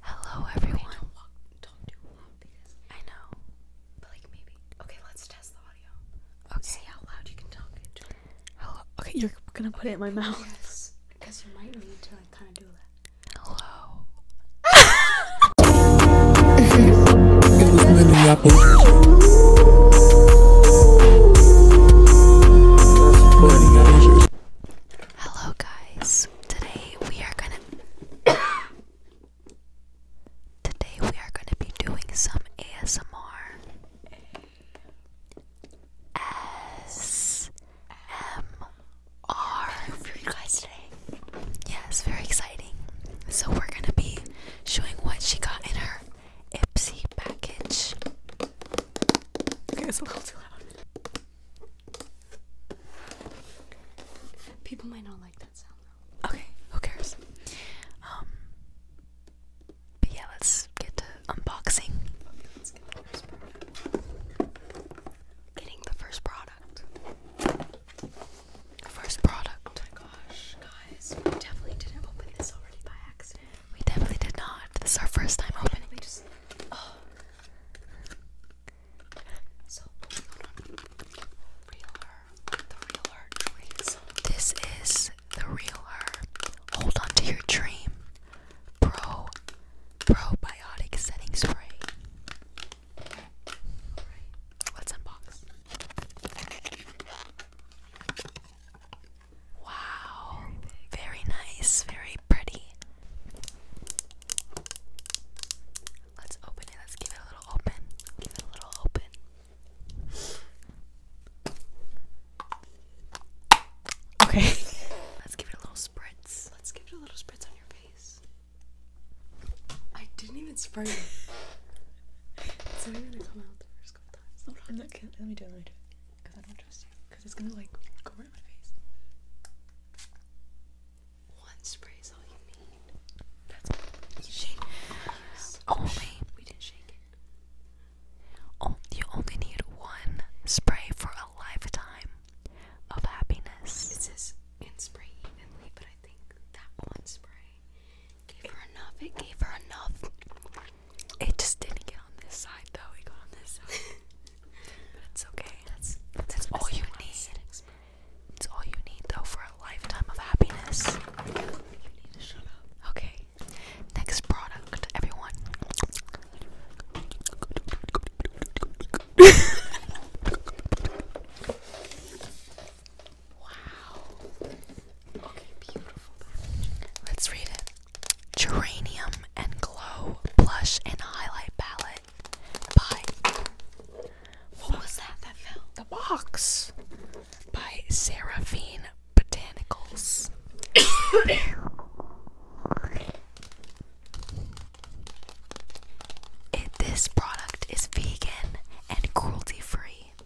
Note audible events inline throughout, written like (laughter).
Hello everyone. I know. But like maybe. Okay, let's test the audio. Okay. See how loud you can talk Hello. Okay, you're gonna put it in my mouth. Yes, because you might need to kind of do that. Hello. (laughs) Hello, guys. Today we are gonna. Today we are gonna be doing some ASMR. S M R for you guys today. Yes, very exciting. So we're gonna be showing what she got in her Ipsy package. Okay, it's a little too loud. People might not like that sound though. Okay, who cares? Um but yeah, let's get to unboxing. Getting the first product. First product. Oh my gosh, guys. We definitely didn't open this already by accident. We definitely did not. This is our first time opening. we just hold on. This is the real her. Hold on to your dream. Pro probiotic setting spray. let's unbox. Wow, very nice, very pretty. Let's open it. Let's give it a little open. Give it a little open. Okay. (laughs) Let's give it a little spritz. Let's give it a little spritz on your face. I didn't even spray it. it's (laughs) not even come out the first couple times. Hold on. Let me do it. Let me do it. Because I don't trust you because it's gonna like go right my face. One spray is all you need. That's you Only oh, oh, we didn't shake it. Oh, you only need one spray for a lifetime of happiness. It says spray evenly, but I think that one spray gave her enough. It gave her enough. It just didn't get on this side though. It got on this side. (laughs) but it's okay. That's that's, all you need. It's all you need though for a lifetime of happiness. Okay. Next product, everyone. (laughs) wow. Let's read it. Geranium and Glow Blush and Highlight Palette by. What was that that fell? The box by Seraphine Botanicals. (coughs) this product is vegan and cruelty free.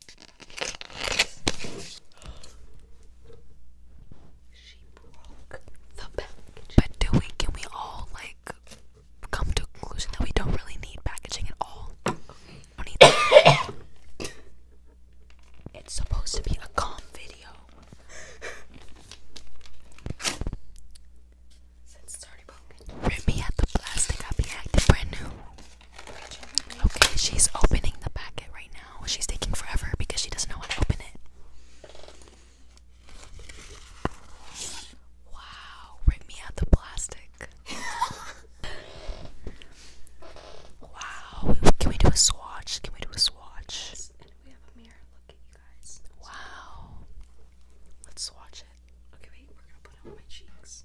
She broke the package. But do we can we all like come to a conclusion that we don't really need packaging at all? it's supposed to be a calm video. Since started poking. Rip me at the plastic, i brand new. Okay, she's opening the packet right now. She's taking forever because she doesn't know how to open it. Wow, rip me out the plastic. wow, can we do a swatch? Can we do a swatch? And we have a mirror. Look you guys. Wow. Let's swatch it. Okay, wait, we're gonna put it on my cheeks.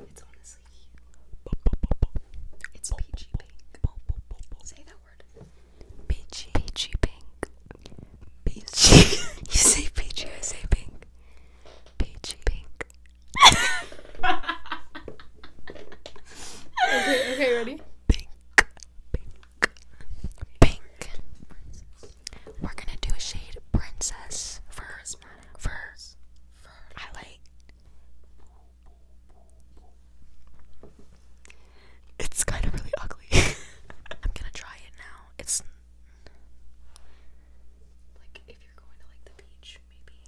It's honestly It's peachy pink. Say that word. Peachy. Peachy pink. Peachy. (laughs) you say peachy, I say pink. Peachy pink. (laughs) okay, okay, ready? Pink. Pink. Pink. We're gonna do a shade princess for for I like. It's kind of really ugly. (laughs) I'm gonna try it now. It's like if you're going to like the beach, maybe.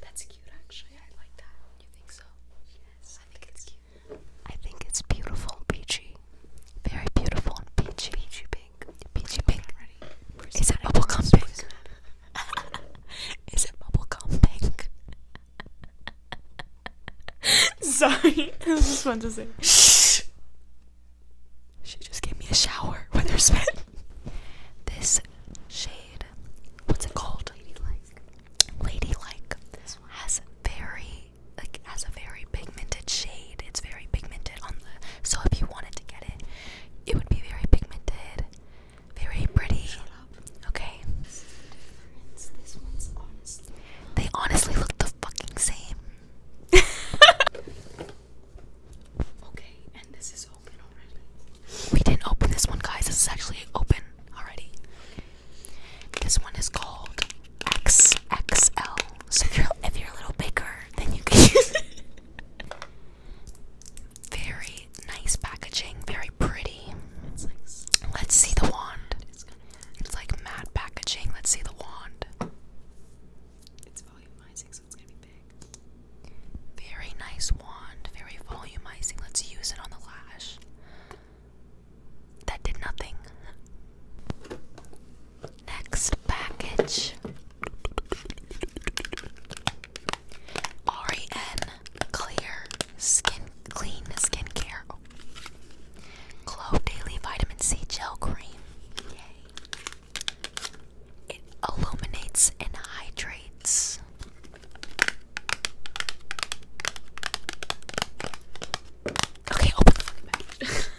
That's cute, actually. I like that. You think so? Yes. I think it's cute. I think it's beautiful and peachy. Very beautiful and peachy. Peachy, (laughs) Is it bubblegum pink? Is it bubblegum pink? Sorry, this is fun to say. Shh. She just gave me a shower with her spit. this shade, what's it called? Ladylike. Ladylike this one. has very like has a very pigmented shade. It's very pigmented on the so if you wanted to get it, it would be very pigmented, very pretty. Okay. the difference. This one's honestly. They honestly look the fucking same. (laughs) okay, and this is open already. We didn't open this one, guys. This is actually open already. This one is called XXL so if you're, a little bigger, then you can use it. Very nice packaging, very pretty. Let's see the wand. It's, like mad packaging. Let's see the wand. It's volumizing, so it's gonna be big. Very nice wand, very volumizing. Let's use it on the lash. That did nothing. Next package REN Clear Skin Clean Skincare oh. Glow Daily Vitamin C Gel Cream. Yay. It illuminates and hydrates. Okay, open (laughs)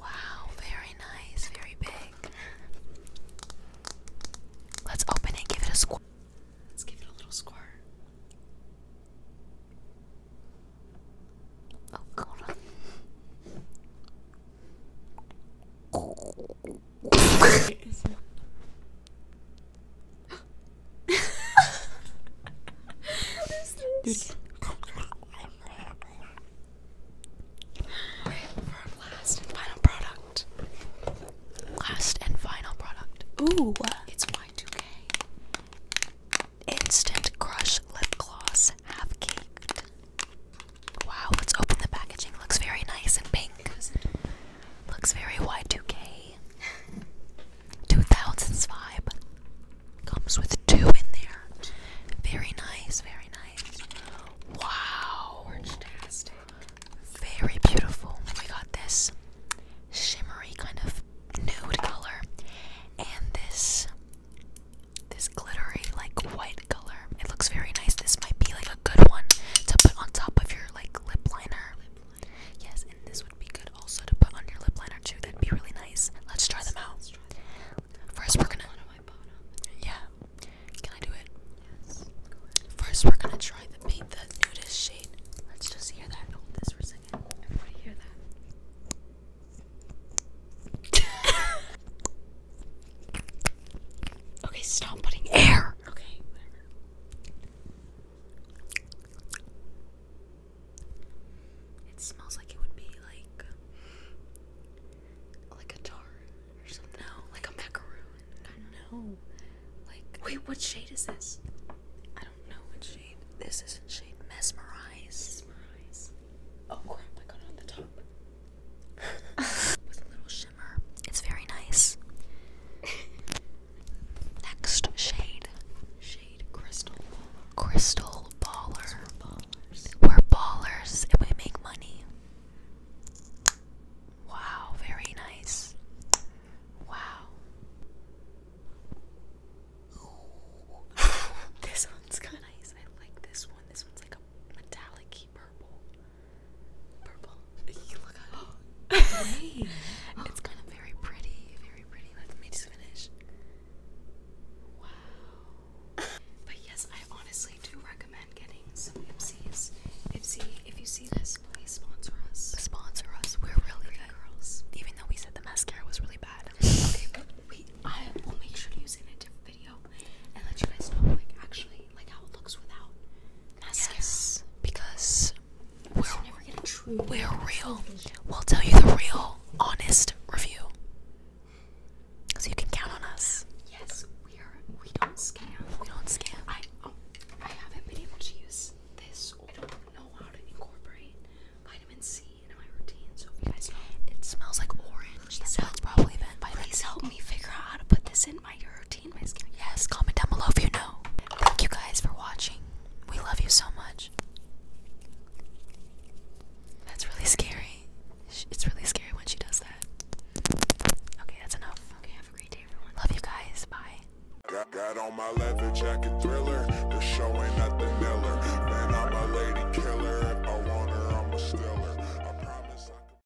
wow, very nice, very big. Let's open it, give it a squirt. Let's give it a little squirt. Oh, hold on. Dude. Alright, for last and final product. Last and final product. Ooh. It's Y2K. Instant Crush Lip Gloss Half Caked. Wow, let's open the packaging. Looks very nice and pink. Looks very Y2K. 2005 Comes with two in there. Very nice, very nice. Wow. Fantastic. Very beautiful. We got this shimmery kind of nude color and this this glittery like white color. It looks very nice. This might be like a good one to put on top of your like lip liner. Yes, and this would be good also to put on your lip liner too. That'd be really nice. Let's try them out. First, we're gonna. Yeah. Can I do it? Yes. First, we're gonna try the nudest shade. Let's just hear that. Hold this for a second. (laughs) okay, stop putting air. It smells like it would be like like a tar or something. No, like a macaroon. I don't know. Like wait, what shade is this? I don't know what shade. This isn't shade. Mesmerize. Mesmerize. Oh crap! I got on the top. (laughs) (laughs) With a little it's very nice. (laughs) Next shade. Shade crystal. Crystal baller. We're ballers. and we make money. Wow, very nice. Wow. (laughs) this one's kind of nice. I like this one. This one's like a metallic purple. Purple. (gasps) (laughs) it's kind of very pretty, very pretty. Let me just finish. Wow. But yes, I honestly do recommend getting some Ipsies. Ipsy, if you see this, please sponsor us. Sponsor us. We're really good girls. Even though we said the mascara was really bad. (laughs) okay, but we I will make sure to use it in a video and let you guys know like actually like how it looks without. Yes, because we're, we're real. We'll tell you the real, honest review. So you can count on us. Yes, we are. We don't scam. We don't scam. I, oh, I haven't been able to use this. We don't know how to incorporate vitamin C in my routine. So if you guys it smells like orange. That's so probably been vitamin Please help me figure out how to put this in my routine. Yes, comment down below if you know. Thank you guys for watching. We love you so much. That's really scary. It's really scary when she does that. Okay, that's enough. Okay, have a great day, everyone. Love you guys. Bye. Got, got on my leather jacket thriller. The show ain't nothing miller. Man, I'm a lady killer. I want her, I'm a stiller.